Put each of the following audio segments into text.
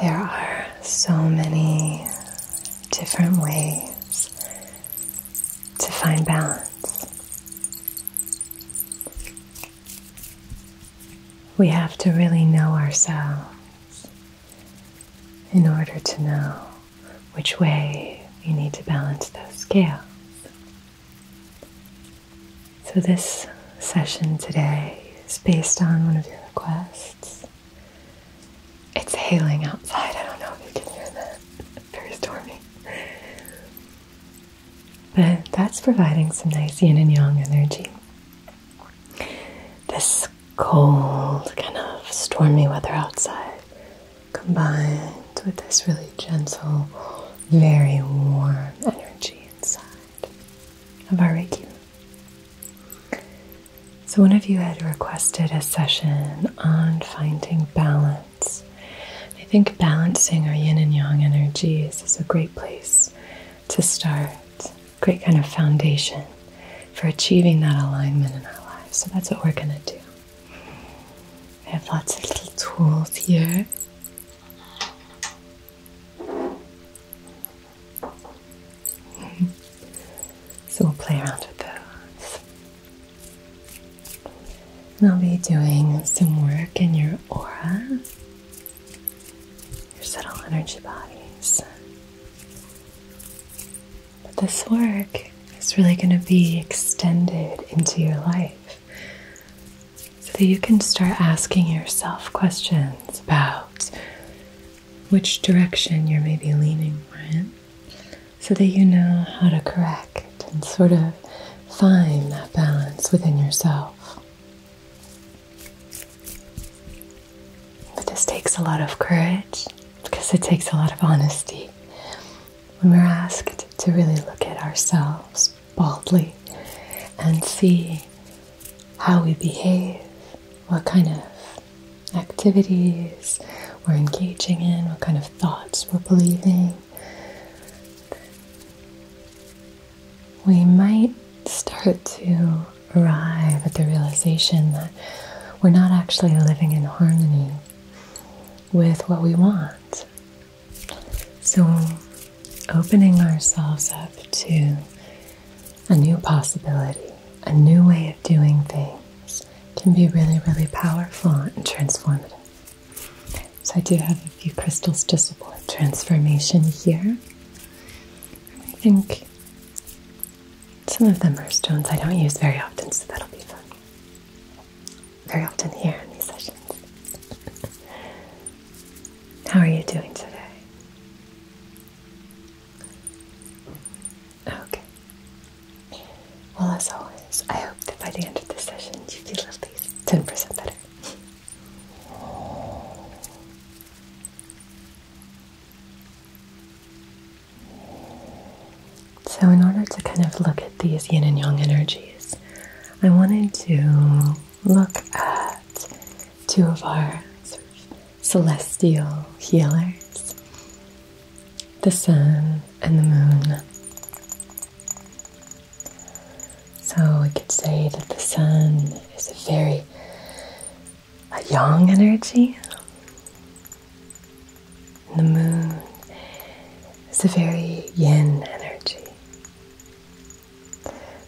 There are so many different ways to find balance. We have to really know ourselves in order to know which way you need to balance those scales. So, this session today is based on one of your requests. It's hailing outside. I don't know if you can hear that. very stormy. But that's providing some nice yin and yang energy. This cold, kind of stormy weather outside combined with this really gentle, very warm energy inside of our Reiki. So, one of you had requested a session on finding balance. I think balancing our yin and yang energies is a great place to start, great kind of foundation for achieving that alignment in our lives. So, that's what we're going to do. I have lots of little tools here. so we'll play around with those. And I'll be doing some work in your aura, your subtle energy bodies. But this work is really going to be extended into your life so that you can start asking yourself questions about which direction you're maybe leaning more so that you know how to correct and sort of find that balance within yourself. But this takes a lot of courage because it takes a lot of honesty when we're asked to really look at ourselves boldly and see how we behave, what kind of activities we're engaging in, what kind of thoughts we're believing. We might start to arrive at the realization that we're not actually living in harmony with what we want. So, opening ourselves up to a new possibility, a new way of doing things can be really, really powerful and transformative. So, I do have a few crystals to support transformation here. I think some of them are stones I don't use very often, so that'll be fun very often here in these sessions. How are you doing today? Okay. Well, as always, I hope that by the end of this session you feel at least 10% better. So, in order to kind of look at these yin and yang energies, I wanted to look at two of our celestial healers the sun and the moon. So, we could say that the sun is a very a yang energy, the moon is a very yin energy.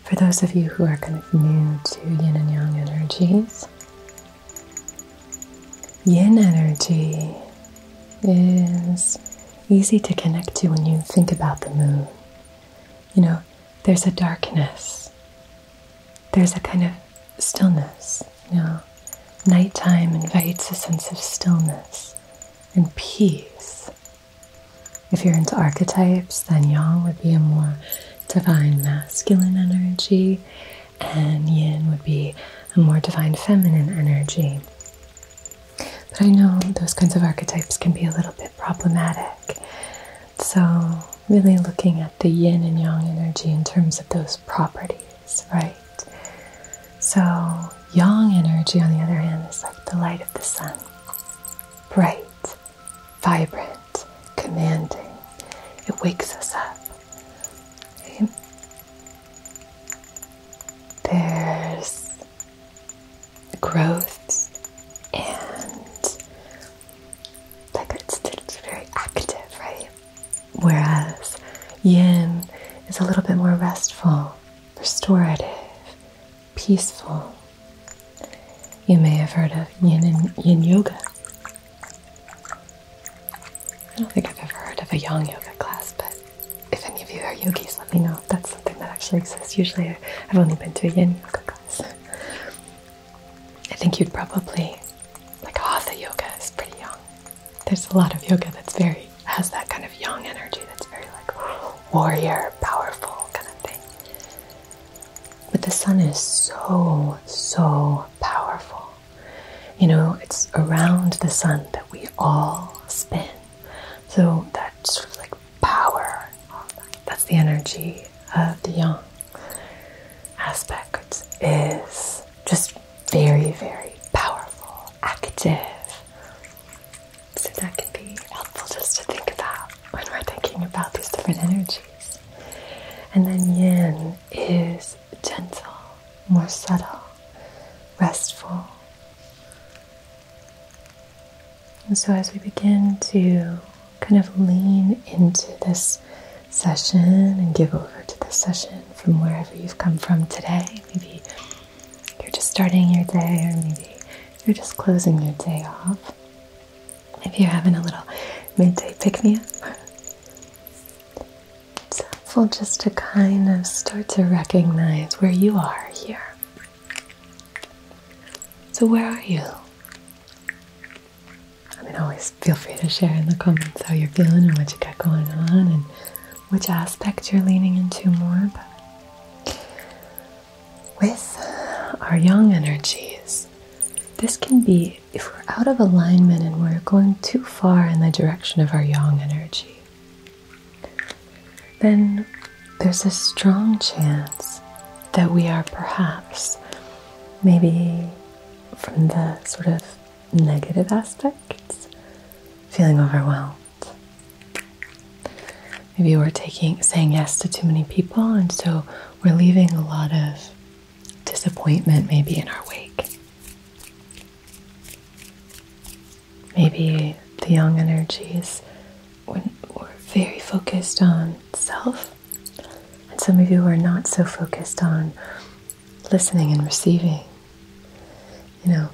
For those of you who are kind of new to yin and yang energies, yin energy is easy to connect to when you think about the moon. You know, there's a darkness, there's a kind of stillness now, nighttime invites a sense of stillness and peace. If you're into archetypes, then yang would be a more divine masculine energy, and yin would be a more divine feminine energy. But I know those kinds of archetypes can be a little bit problematic. So, really looking at the yin and yang energy in terms of those properties, right? So, yang energy, on the other hand, is like the light of the sun bright, vibrant, commanding. It wakes us up. There's growth and like it's, it's very active, right? whereas yin is a little bit more restful, restorative, peaceful. You may have heard of yin and yin yoga. I don't think I've ever heard of a yang yoga class, but if any of you are yogis, let me know if that's something that actually exists. Usually I've only been to a yin yoga class. I think you'd probably, like hatha yoga is pretty young there's a lot of yoga that's very has that kind of yang energy that's very like warrior, powerful kind of thing. But the sun is so, so powerful. You know, it's around the sun that we all spin. So that sort of like power, that's the energy of the yang aspect is just very, very powerful, active. So that can be helpful just to think about when we're thinking about these different energies. And then yin is gentle, more subtle, restful. And so as we begin to kind of lean into this session and give over to this session, from wherever you've come from today. Maybe you're just starting your day, or maybe you're just closing your day off. If you're having a little midday pick me up. It's helpful just to kind of start to recognize where you are here. So, where are you? I mean, always feel free to share in the comments how you're feeling and what you got going on, and which aspect you're leaning into more. with our yang energies, this can be if we're out of alignment and we're going too far in the direction of our yang energy, then there's a strong chance that we are perhaps maybe from the sort of negative aspect parts, feeling overwhelmed. Maybe we're taking saying yes to too many people, and so we're leaving a lot of disappointment maybe in our wake. Maybe the young energies when we're very focused on self, and some of you are not so focused on listening and receiving. You know,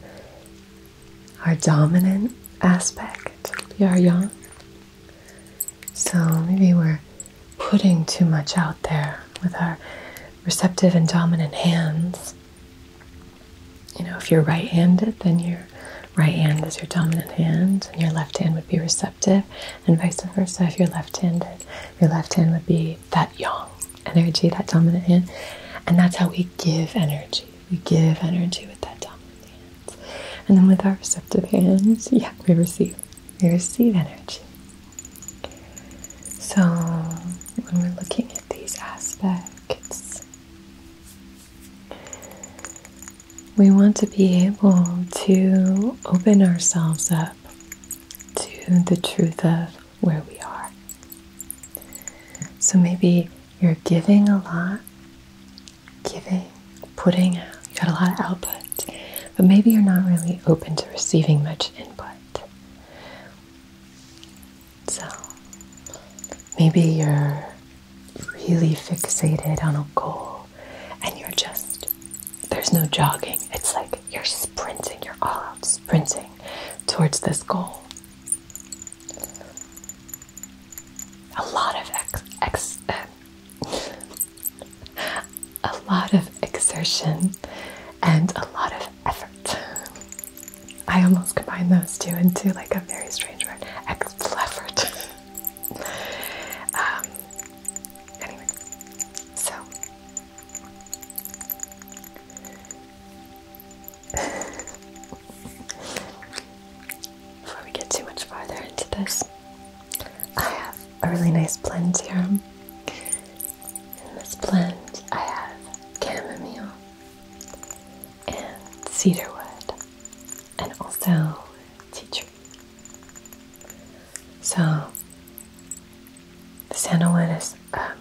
our dominant aspect, our yang. So maybe we're putting too much out there with our receptive and dominant hands. You know, if you're right handed, then your right hand is your dominant hand, and your left hand would be receptive, and vice versa. If you're left handed, your left hand would be that yang energy, that dominant hand. And that's how we give energy. We give energy with that dominant hand. And then with our receptive hands, yeah, we receive. We receive energy. So when we're looking at these aspects, we want to be able to open ourselves up to the truth of where we are. So maybe you're giving a lot, giving, putting out, you got a lot of output, but maybe you're not really open to receiving much input. So maybe you're really fixated on a goal and you're just, there's no jogging. It's like you're sprinting, you're all out sprinting towards this goal. A lot of ex, a lot of exertion and a lot of effort. I almost combined those two into like a very strange word, ex effort. um, anyway, so before we get too much farther into this, I have a really nice blend here. In this blend, I have chamomile and cedarwood and also tea tree. So, the sandalwood is um,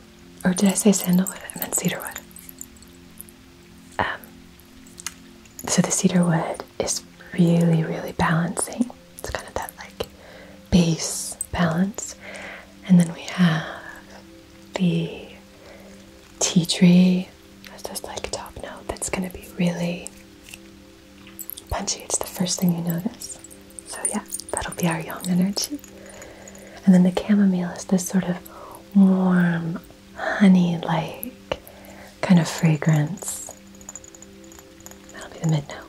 or did I say sandalwood? I meant cedarwood. Um, so the cedarwood is really, really balancing. It's kind of that like base balance. And then we have the tea tree. That's just like a top note that's going to be really punchy. It's the first thing you notice. So yeah, that'll be our yang energy. And then the chamomile is this sort of warm, honey-like kind of fragrance. That'll be the mid note.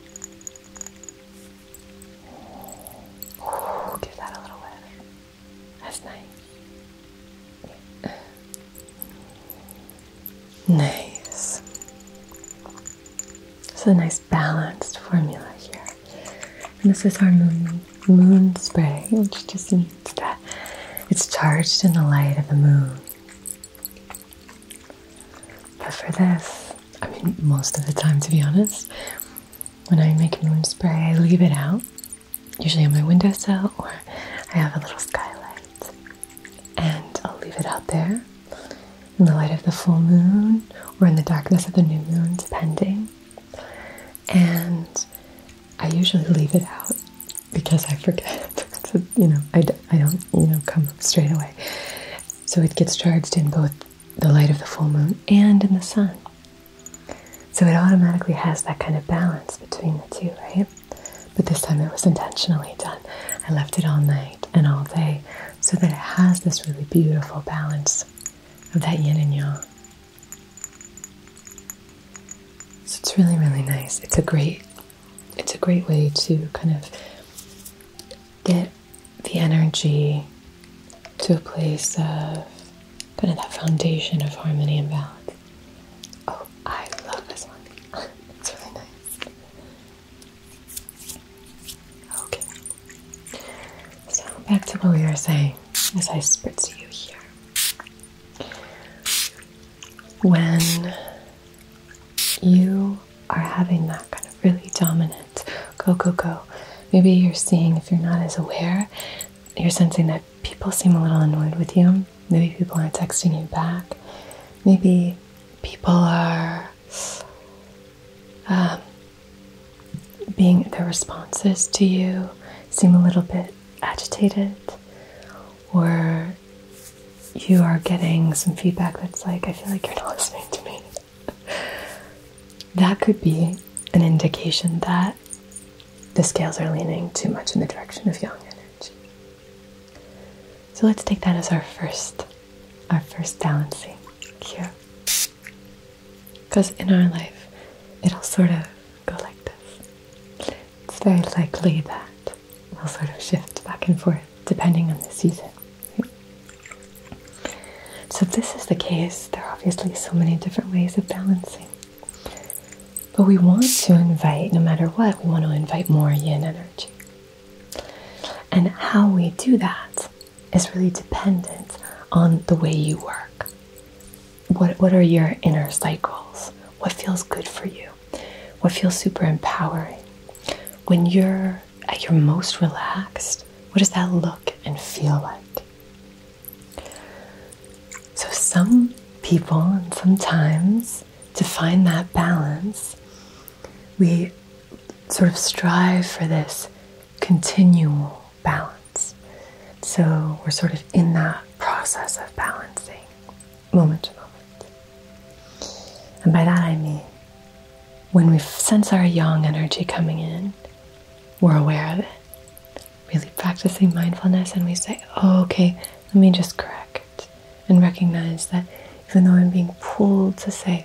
give that a little whiff. That's nice. Nice. This a nice balanced formula here. And this is our moon moon spray, which just means that it's charged in the light of the moon. But for this, I mean most of the time to be honest, when I make moon spray I leave it out, usually on my windowsill or I have a little skylight and I'll leave it out there in the light of the full moon or in the darkness of the new moon, depending. And I usually leave it out because I forget. so, you know, I, I don't, you know, come straight away. So it gets charged in both the light of the full moon and in the sun. So it automatically has that kind of balance between the two, right? But this time it was intentionally done. I left it all night and all day so that it has this really beautiful balance of that yin and yang. So it's really, really nice. It's a great, it's a great way to kind of get the energy to a place of kind of that foundation of harmony and balance. Oh, I love this one. it's really nice. Okay. So back to what we were saying as I spritz you here. When you are having that kind of really dominant go, go, go, maybe you're seeing, if you're not as aware, you're sensing that people seem a little annoyed with you. Maybe people aren't texting you back. Maybe people are um, being their responses to you seem a little bit agitated, or you are getting some feedback that's like, I feel like you're not listening to me. that could be an indication that the scales are leaning too much in the direction of yang energy. So let's take that as our first, our first balancing cure. Because in our life, it'll sort of go like this. It's very likely that we'll sort of shift back and forth depending on the season. So, if this is the case, there are obviously so many different ways of balancing. But we want to invite, no matter what, we want to invite more yin energy. And how we do that is really dependent on the way you work. What, what are your inner cycles? What feels good for you? What feels super empowering? When you're at your most relaxed, what does that look and feel like? So, some people, and sometimes to find that balance, we sort of strive for this continual balance. So we're sort of in that process of balancing moment to moment. And by that I mean when we sense our yang energy coming in, we're aware of it. Really practicing mindfulness, and we say, oh, okay, let me just correct and recognize that even though I'm being pulled to say,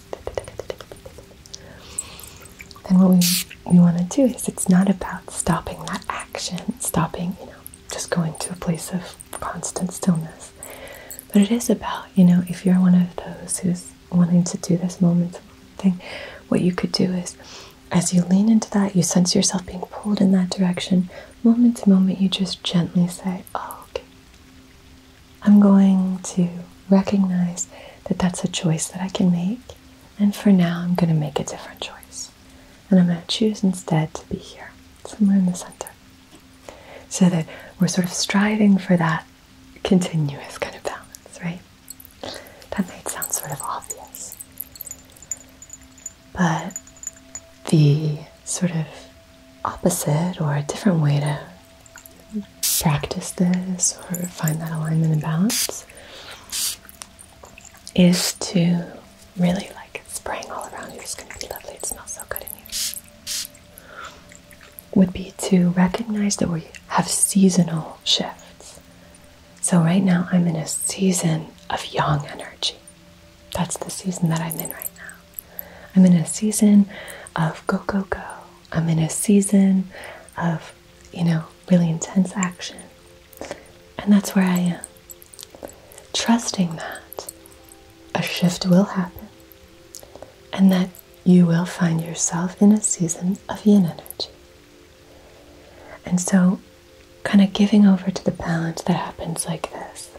And what we, we want to do is it's not about stopping that action, stopping, you know, just going to a place of constant stillness. But it is about, you know, if you're one of those who's wanting to do this moment thing, what you could do is as you lean into that, you sense yourself being pulled in that direction. Moment to moment, you just gently say, oh, okay. I'm going to recognize that that's a choice that I can make. And for now, I'm going to make a different choice. And I'm going to choose instead to be here, somewhere in the center. So that we're sort of striving for that continuous kind of balance, right? That might sound sort of obvious. But the sort of opposite or a different way to practice this or find that alignment and balance is to really like spraying all around you. It's going to be lovely. It smells so good in here. Would be to recognize that we have seasonal shifts. So right now I'm in a season of yang energy. That's the season that I'm in right now. I'm in a season of go, go, go. I'm in a season of, you know, really intense action. And that's where I am. Trusting that a shift will happen and that you will find yourself in a season of yin energy. And so, kind of giving over to the balance that happens like this.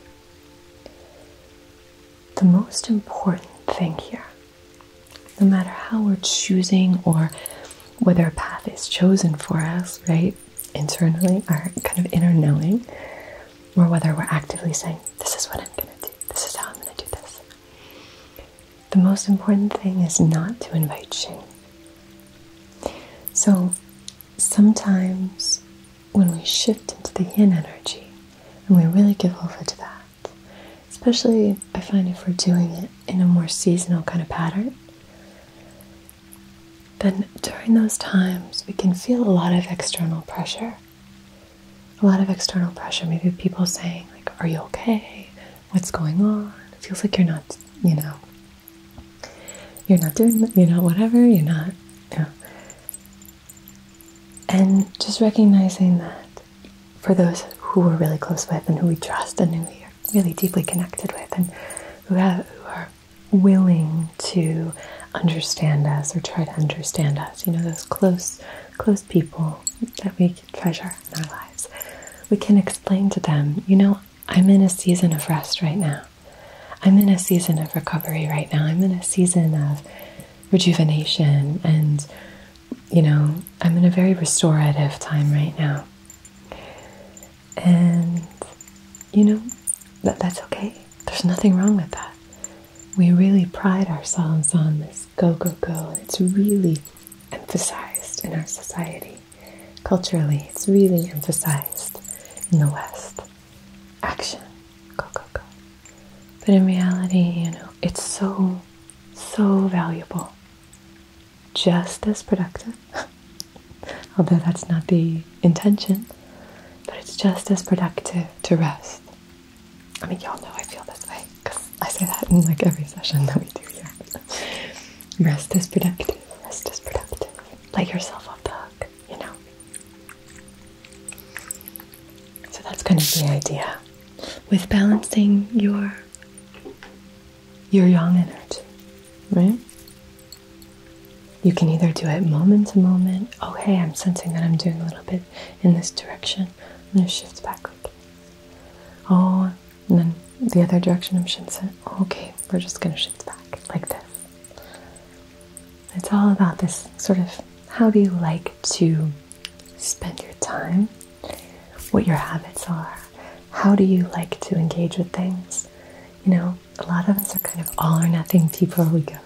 The most important thing here no matter how we're choosing or whether a path is chosen for us, right? Internally, our kind of inner knowing, or whether we're actively saying, This is what I'm going to do, this is how I'm going to do this. The most important thing is not to invite shame. So sometimes when we shift into the yin energy and we really give over to that, Especially, I find if we're doing it in a more seasonal kind of pattern, then during those times we can feel a lot of external pressure. A lot of external pressure, maybe people saying, like, are you okay? What's going on? It feels like you're not, you know, you're not doing, you know, whatever, you're not, you know. And just recognizing that for those who we're really close with and who we trust and who we are really deeply connected with and who, are willing to understand us or try to understand us. You know, those close, close people that we treasure in our lives. We can explain to them, you know, I'm in a season of rest right now. I'm in a season of recovery right now. I'm in a season of rejuvenation and you know, I'm in a very restorative time right now. And, you know, that, that's okay. There's nothing wrong with that. We really pride ourselves on this go, go, go. it's really emphasized in our society. Culturally, it's really emphasized in the West. Action, go, go, go. But in reality, you know, it's so so valuable. Just as productive. Although that's not the intention, but it's just as productive to rest. I mean, y'all know I feel this way because I say that in like every session that we do here. rest is productive, rest is productive. Let yourself off the hook, you know? So that's kind of the idea with balancing your your yang energy, right? You can either do it moment to moment. Oh, hey, I'm sensing that I'm doing a little bit in this direction. I'm going to shift back. Quickly. Oh, and then the other direction I'm shifting. Okay, we're just going to shift back like this. It's all about this sort of how do you like to spend your time, what your habits are, how do you like to engage with things. You know, a lot of us are kind of all or nothing people. We go,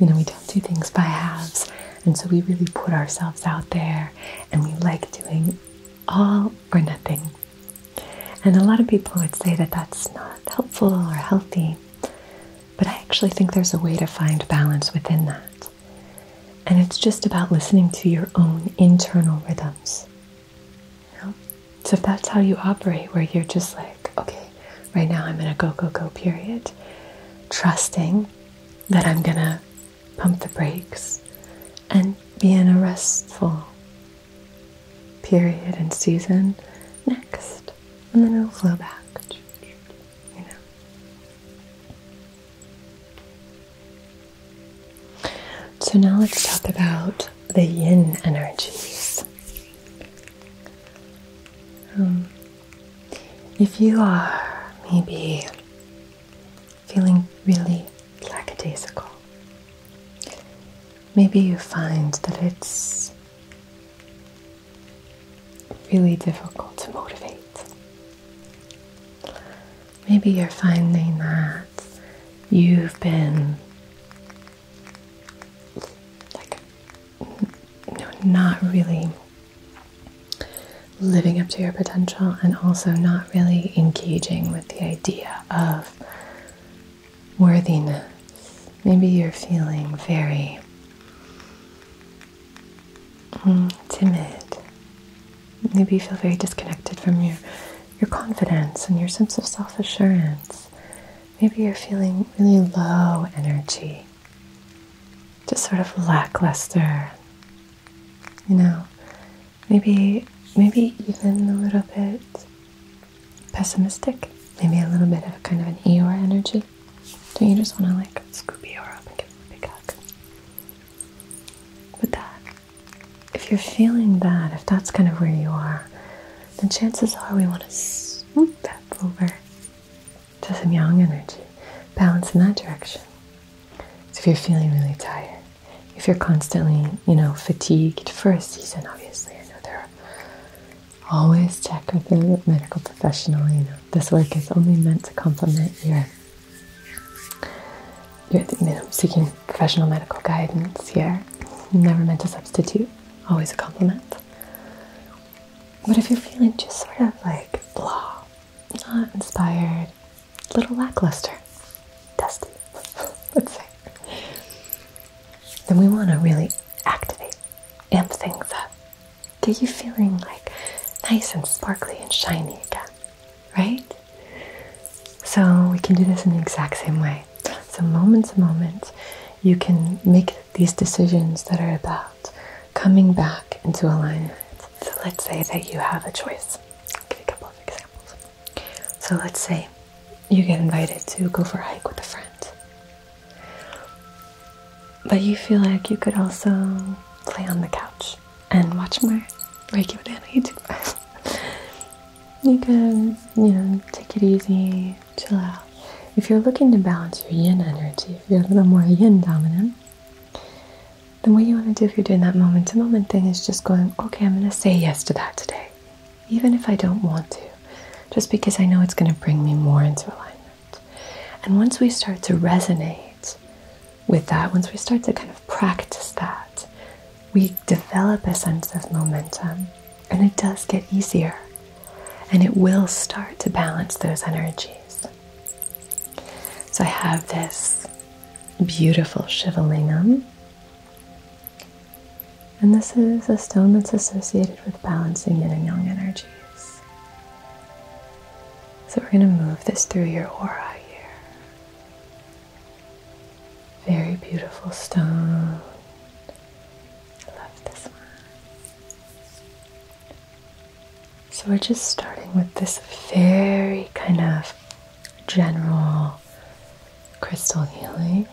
you know, we don't do things by halves. And so we really put ourselves out there and we like doing all or nothing. And a lot of people would say that that's not helpful or healthy. But I actually think there's a way to find balance within that. And it's just about listening to your own internal rhythms. So if that's how you operate, where you're just like, okay, right now I'm in a go, go, go period, trusting that I'm going to pump the brakes and be in a restful period and season next. And then it'll flow back. You know? So now let's talk about the yin energies. Um, if you are maybe feeling really lackadaisical, maybe you find that it's really difficult to motivate Maybe you're finding that you've been like not really living up to your potential and also not really engaging with the idea of worthiness. Maybe you're feeling very Mm, timid. Maybe you feel very disconnected from your, your confidence and your sense of self assurance. Maybe you're feeling really low energy, just sort of lackluster. You know, maybe maybe even a little bit pessimistic, maybe a little bit of kind of an Eeyore energy. Don't you just want to like scoopy her up and give her a big hug? with that, if you're feeling that, if that's kind of where you are, then chances are we want to swoop that over to some yang energy, balance in that direction. So if you're feeling really tired, if you're constantly, you know, fatigued for a season, obviously, I know there are always check with a medical professional, you know, this work is only meant to complement your you're seeking professional medical guidance here. Never meant to substitute, always a compliment. But if you're feeling just sort of like blah, not inspired, a little lackluster, dusty, let's say, then we want to really activate, amp things up, get you feeling like nice and sparkly and shiny again, right? So we can do this in the exact same way. So moments, moments, you can make these decisions that are about coming back into alignment. So let's say that you have a choice. give a couple of examples. So let's say you get invited to go for a hike with a friend. But you feel like you could also play on the couch and watch more regular YouTube. you can, you know, take it easy, chill out. If you're looking to balance your yin energy, if you're a little more yin dominant, then what you want to do if you're doing that moment to moment thing is just going, okay, I'm going to say yes to that today, even if I don't want to, just because I know it's going to bring me more into alignment. And once we start to resonate with that, once we start to kind of practice that, we develop a sense of momentum and it does get easier and it will start to balance those energies. So I have this beautiful Shivalingam. And this is a stone that's associated with balancing yin and yang energies. So we're going to move this through your aura here. Very beautiful stone. I love this one. So we're just starting with this very kind of general crystal healing,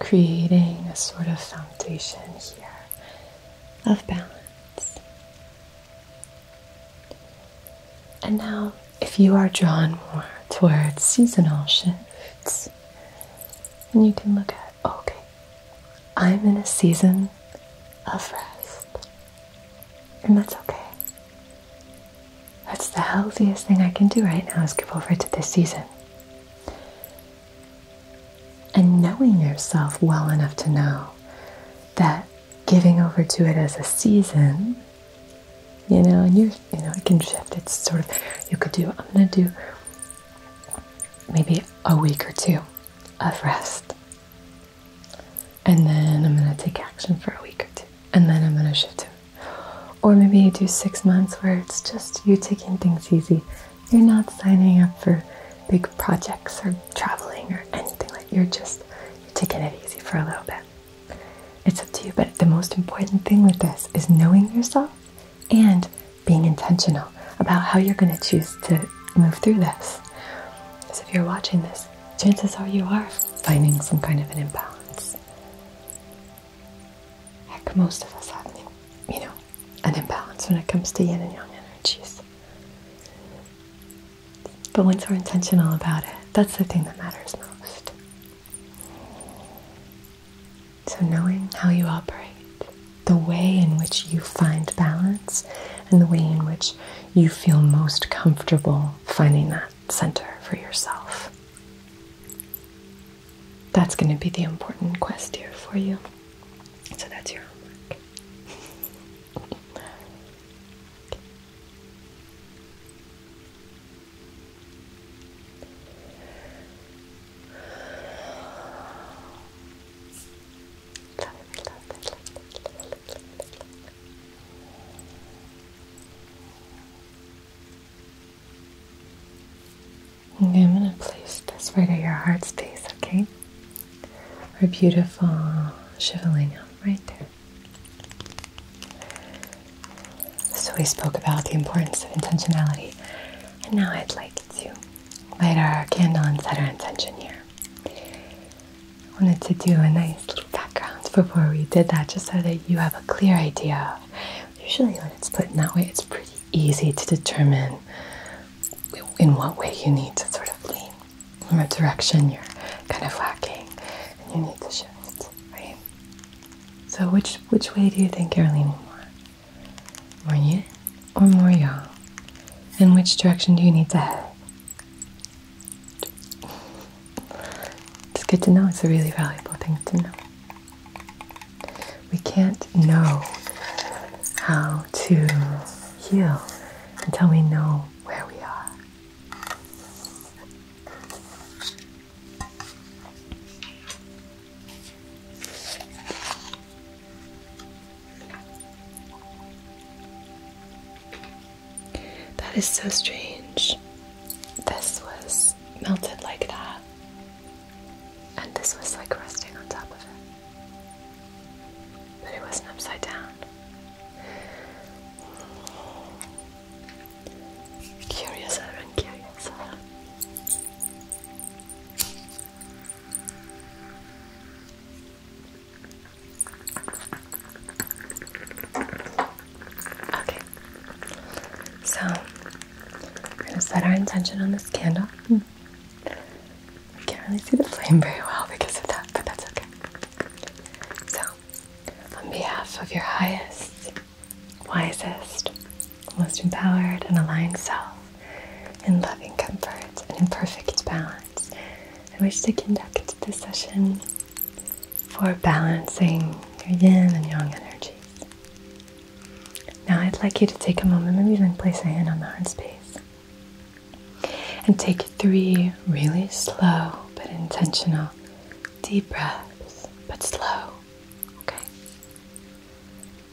creating a sort of foundation here of balance. And now, if you are drawn more towards seasonal shifts, then you can look at okay, I'm in a season of rest, and that's okay. That's the healthiest thing I can do right now is give over to this season and knowing yourself well enough to know that giving over to it as a season, you know, and you you know, it can shift. It's sort of you could do I'm gonna do maybe a week or two of rest. And then I'm gonna take action for a week or two. And then I'm gonna shift to or maybe you do six months where it's just you taking things easy you're not signing up for big projects or traveling or anything like you're just taking it easy for a little bit. It's up to you, but the most important thing with this is knowing yourself and being intentional about how you're going to choose to move through this. Because if you're watching this, chances are you are finding some kind of an imbalance. like most of us have, you know, an imbalance when it comes to yin and yang energies. But once we're intentional about it, that's the thing that matters most. So, knowing how you operate, the way in which you find balance, and the way in which you feel most comfortable finding that center for yourself. That's going to be the important quest here for you. So, that's your homework okay. I'm gonna place this right at your heart space, okay? our beautiful Shivalina right there. So we spoke about the importance of intentionality, and now I'd like to light our candle and set our intention here. I wanted to do a nice little background before we did that, just so that you have a clear idea. Usually, when it's put in that way, it's pretty easy to determine in what way you need to sort of lean, in what direction you're kind of lacking, and you need to shift, right? So which which way do you think you're leaning more? More you or more yang? And which direction do you need to head? It's good to know. It's a really valuable thing to know. We can't know how to heal until we know where we are. That is so strange. This was melted like that, and this was like resting on top of it. But it wasn't upside down. Curiouser and curiouser. Okay, so we're going to set our intention on this candle. Hmm. I can't really see the flame very well because of that, but that's okay. So, on behalf of your highest, wisest, most empowered, and aligned self, in loving comfort and in perfect balance, I wish to conduct this session for balancing your yin and yang energies. Now, I'd like you to take a moment, maybe even place a hand on the heart space. And take three really slow but intentional deep breaths, but slow. Okay.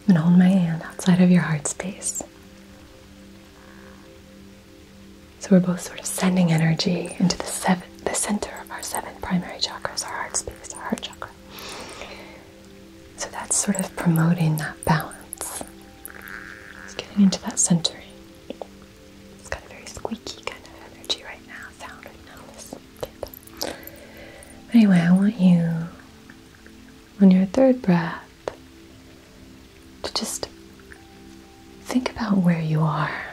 And hold my hand outside of your heart space. So we're both sort of sending energy into the center of our seven primary chakras, our heart space, our heart chakra. So that's sort of promoting that balance it's getting into that centering. It's got a very squeaky kind of energy right now, sound right now, this tip. But anyway, I want you, on your third breath, to just think about where you are.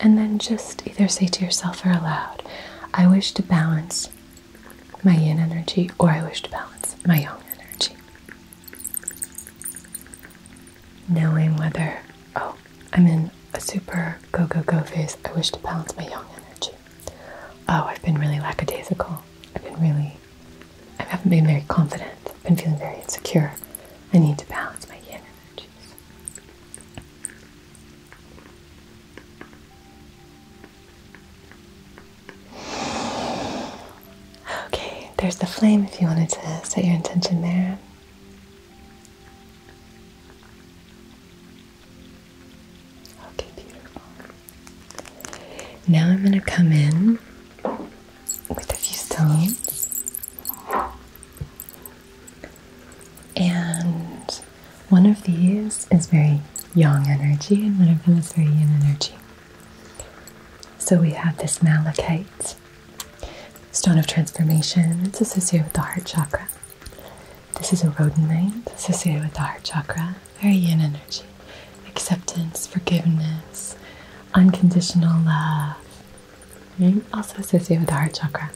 And then just either say to yourself or aloud, I wish to balance my yin energy, or I wish to balance my yang energy. Knowing whether, oh, I'm in a super go go go phase. I wish to balance my young energy. Oh, I've been really lackadaisical. I've been really, I haven't been very confident. I've been feeling very insecure. I need to balance my young energies. Okay, there's the flame if you wanted to set your intention there. Okay, beautiful. Now I'm going to come in with a few stones. And one of these is very yang energy, and one of them is very yin energy. So we have this malachite, stone of transformation. It's associated with the heart chakra. This is a rhodonite associated with the heart chakra. Very yin energy. Acceptance, forgiveness, unconditional love. Also associated with the heart chakra.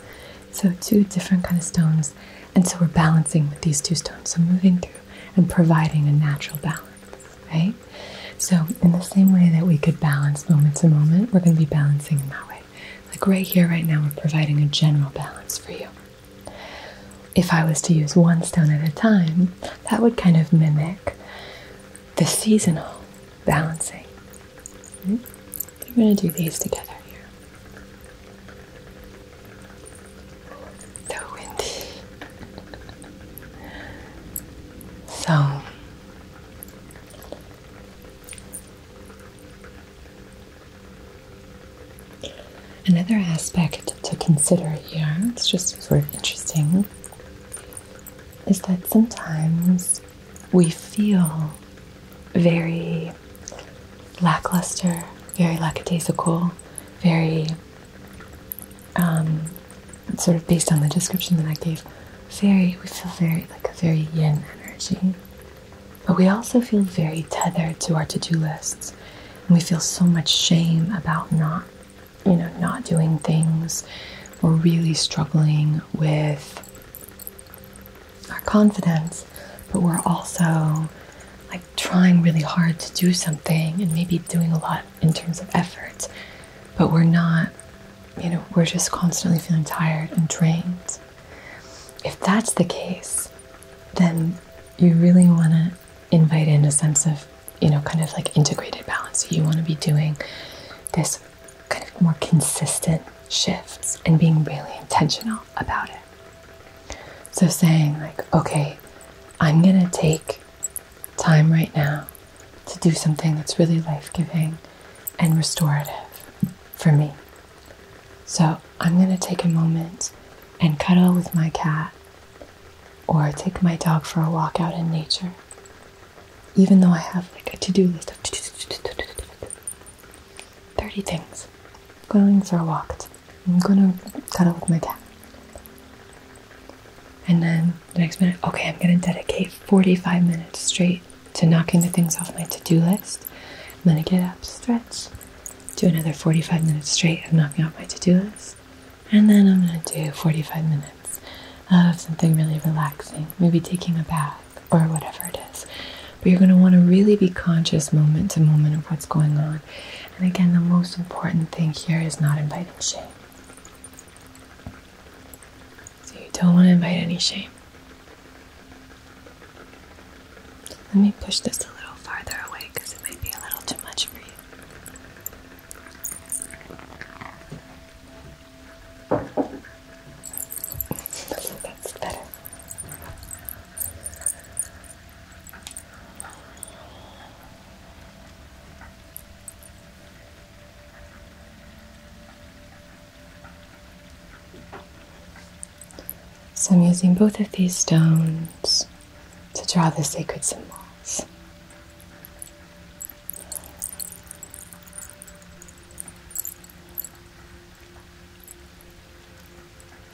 So two different kind of stones. And so we're balancing with these two stones. So moving through and providing a natural balance, right? So, in the same way that we could balance moment to moment, we're going to be balancing in that way. Like right here, right now, we're providing a general balance for you. If I was to use one stone at a time, that would kind of mimic the seasonal balancing. We're going to do these together here so windy. So another aspect to consider here, it's just sort of interesting, is that sometimes we feel very lackluster, very lackadaisical, very um, sort of based on the description that I gave, very we feel very like a very yin energy, but we also feel very tethered to our to-do lists, and we feel so much shame about not, you know, not doing things. We're really struggling with our confidence, but we're also like trying really hard to do something and maybe doing a lot in terms of effort, but we're not, you know, we're just constantly feeling tired and drained. If that's the case, then you really want to invite in a sense of, you know, kind of like integrated balance. So you want to be doing this kind of more consistent shifts and being really intentional about it. So saying, like, okay, I'm going to take time right now to do something that's really life giving and restorative for me. So I'm going to take a moment and cuddle with my cat or take my dog for a walk out in nature. Even though I have like a to do list of 30 things, going for a walk. I'm going to cuddle with my cat. And then the next minute, okay, I'm going to dedicate 45 minutes straight to knocking the things off my to do list. I'm going to get up, stretch, do another 45 minutes straight of knocking off my to do list. And then I'm going to do 45 minutes of something really relaxing, maybe taking a bath or whatever it is. But you're going to want to really be conscious moment to moment of what's going on. And again, the most important thing here is not inviting shame. So you don't want to invite any shame. Let me push this a little farther away because it may be a little too much for you. That's better. So I'm using both of these stones to draw the sacred symbols.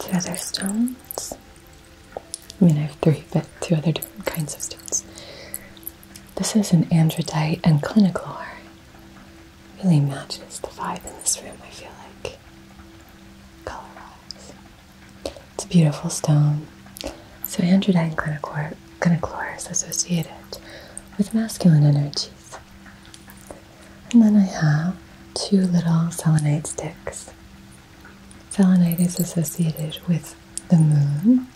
Two other stones. I mean, I have three, but two other different kinds of stones. This is an andradite and cliniclore. Really matches the vibe in this room, I feel like. Color it's a beautiful stone. So androdyne and gonochlor associated with masculine energies. And then I have two little selenite sticks. Selenite is associated with the moon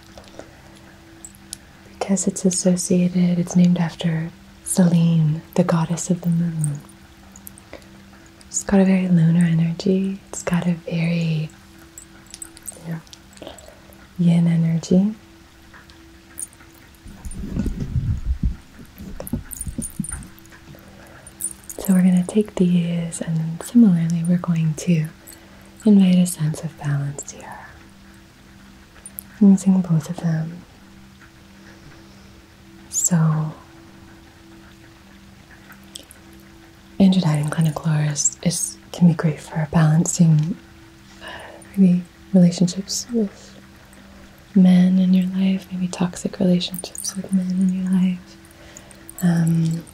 because it's associated, it's named after Selene, the goddess of the moon. It's got a very lunar energy, it's got a very yin energy so we're going to take these and similarly we're going to invite a sense of balance here using both of them so Angiodyne and cliniclor is, can be great for balancing uh, maybe relationships with men in your life, maybe toxic relationships with men in your life. Um,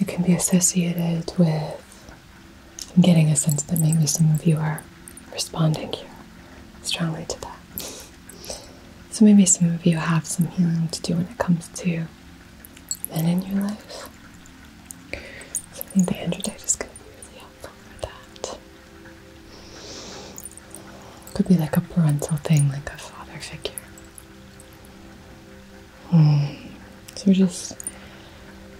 it can be associated with getting a sense that maybe some of you are responding here strongly to that. So maybe some of you have some healing to do when it comes to men in your life. I think the androtype is going to be really helpful for that. Could be like a parental thing, like a father figure. Hmm. So we're just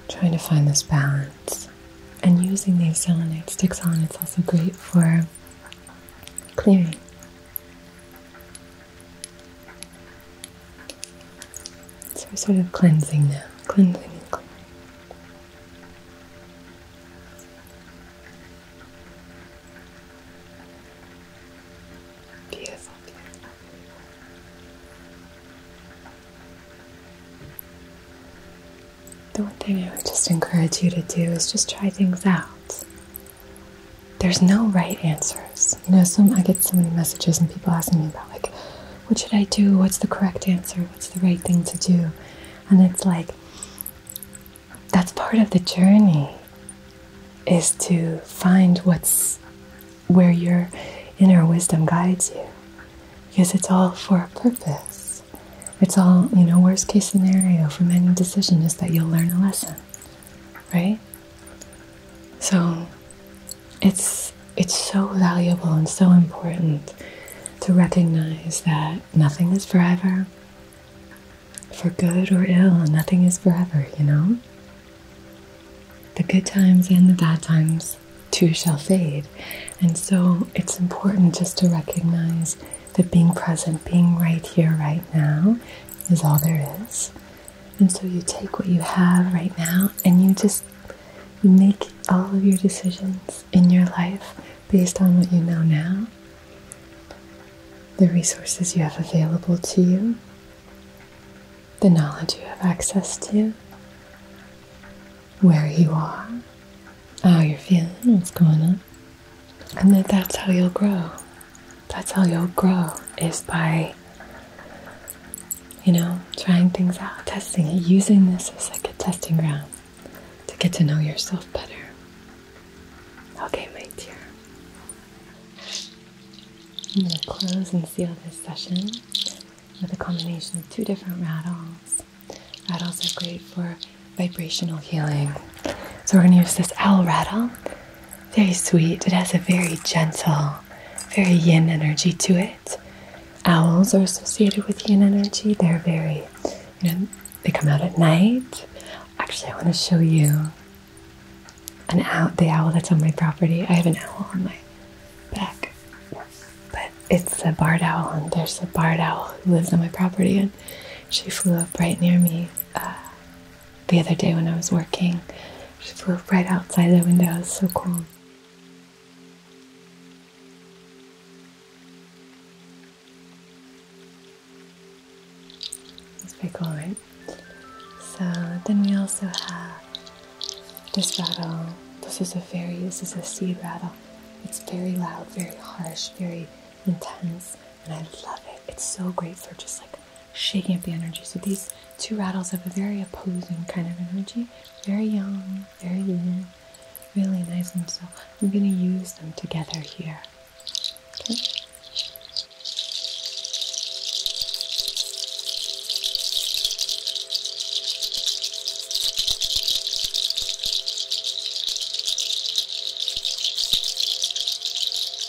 trying to find this balance. And using these selenite sticks on, it's also great for clearing. So we're sort of cleansing now, cleansing beautiful. The one thing I would just encourage you to do is just try things out there's no right answers. You know, some I get so many messages and people asking me about like, what should I do? What's the correct answer? What's the right thing to do? And it's like that's part of the journey is to find what's where your inner wisdom guides you. Because it's all for a purpose. It's all, you know, worst case scenario from any decision is that you'll learn a lesson right? So it's it's so valuable and so important to recognize that nothing is forever. For good or ill, nothing is forever, you know? The good times and the bad times too shall fade. And so it's important just to recognize that being present, being right here, right now, is all there is. And so you take what you have right now and you just make all of your decisions in your life based on what you know now, the resources you have available to you, the knowledge you have access to, where you are, how you're feeling, what's going on, and that that's how you'll grow. That's how you'll grow is by you know, trying things out, testing it, using this as like a testing ground to get to know yourself better. Okay, my dear. I'm going to close and seal this session with a combination of two different rattles. Rattles are great for vibrational healing. So we're going to use this owl rattle very sweet. It has a very gentle, very yin energy to it. Owls are associated with yin energy. They're very, you know, they come out at night. Actually, I want to show you an owl, the owl that's on my property. I have an owl on my back, but it's a barred owl, and there's a barred owl who lives on my property, and she flew up right near me uh, the other day when I was working. She flew right outside the window. It was so cool. It's pretty cool, right? So then we also have this rattle. This is a fairy. this is a seed rattle. It's very loud, very harsh, very intense, and I love it. It's so great for just like shaking up the energy. So these two rattles have a very opposing kind of energy. Very young, very yin, really nice. And so I'm going to use them together here. Okay.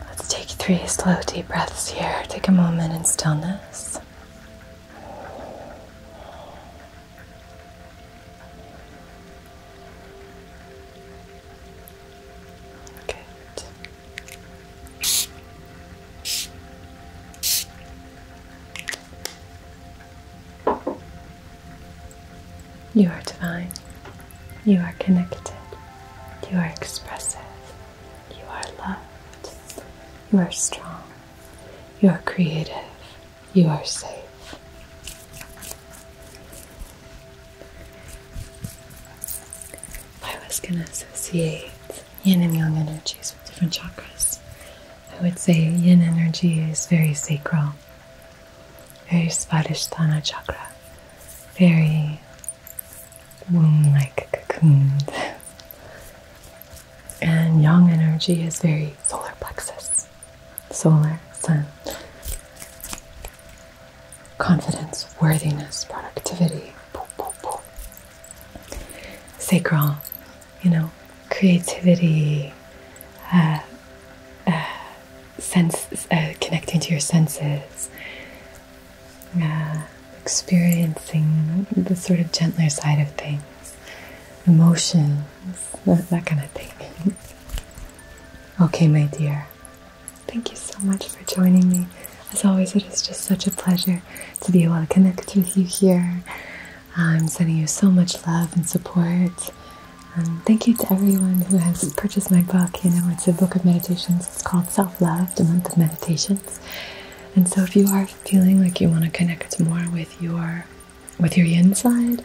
Let's take three slow, deep breaths here. Take a moment in stillness. Good. You are divine. You are connected. You are expressive. You are loved. You are strong. You are creative. You are safe. I was going to associate yin and yang energies with different chakras. I would say yin energy is very sacral, very Svadhisthana chakra, very womb like cocoon, And yang energy is very solar plexus, solar, sun, confidence, worthiness, productivity sacral, you know, creativity, uh, uh sense, uh, connecting to your senses, uh, experiencing the sort of gentler side of things, emotions, that kind of thing. okay, my dear, thank you so much for joining me. As always, it is just such a pleasure to be able to connect with you here. I'm sending you so much love and support. Um, thank you to everyone who has purchased my book. You know, it's a book of meditations. It's called Self Love, The Month of Meditations. And so, if you are feeling like you want to connect more with your with your yin side,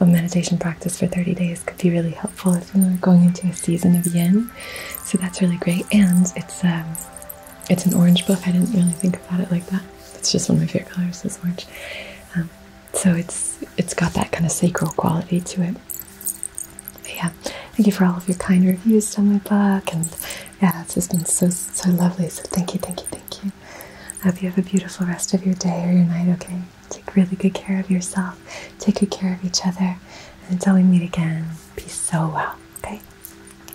a meditation practice for 30 days could be really helpful if you are going into a season of yin. So that's really great, and it's um, it's an orange book. I didn't really think about it like that. It's just one of my favorite colors is orange. Um, so it's it's got that kind of sacral quality to it. But yeah, thank you for all of your kind reviews on my book, and yeah, it's just been so so lovely. So thank you, thank you, thank you. I hope you have a beautiful rest of your day or your night. Okay, take really good care of yourself. Take good care of each other. And until we meet again, be so well. Okay.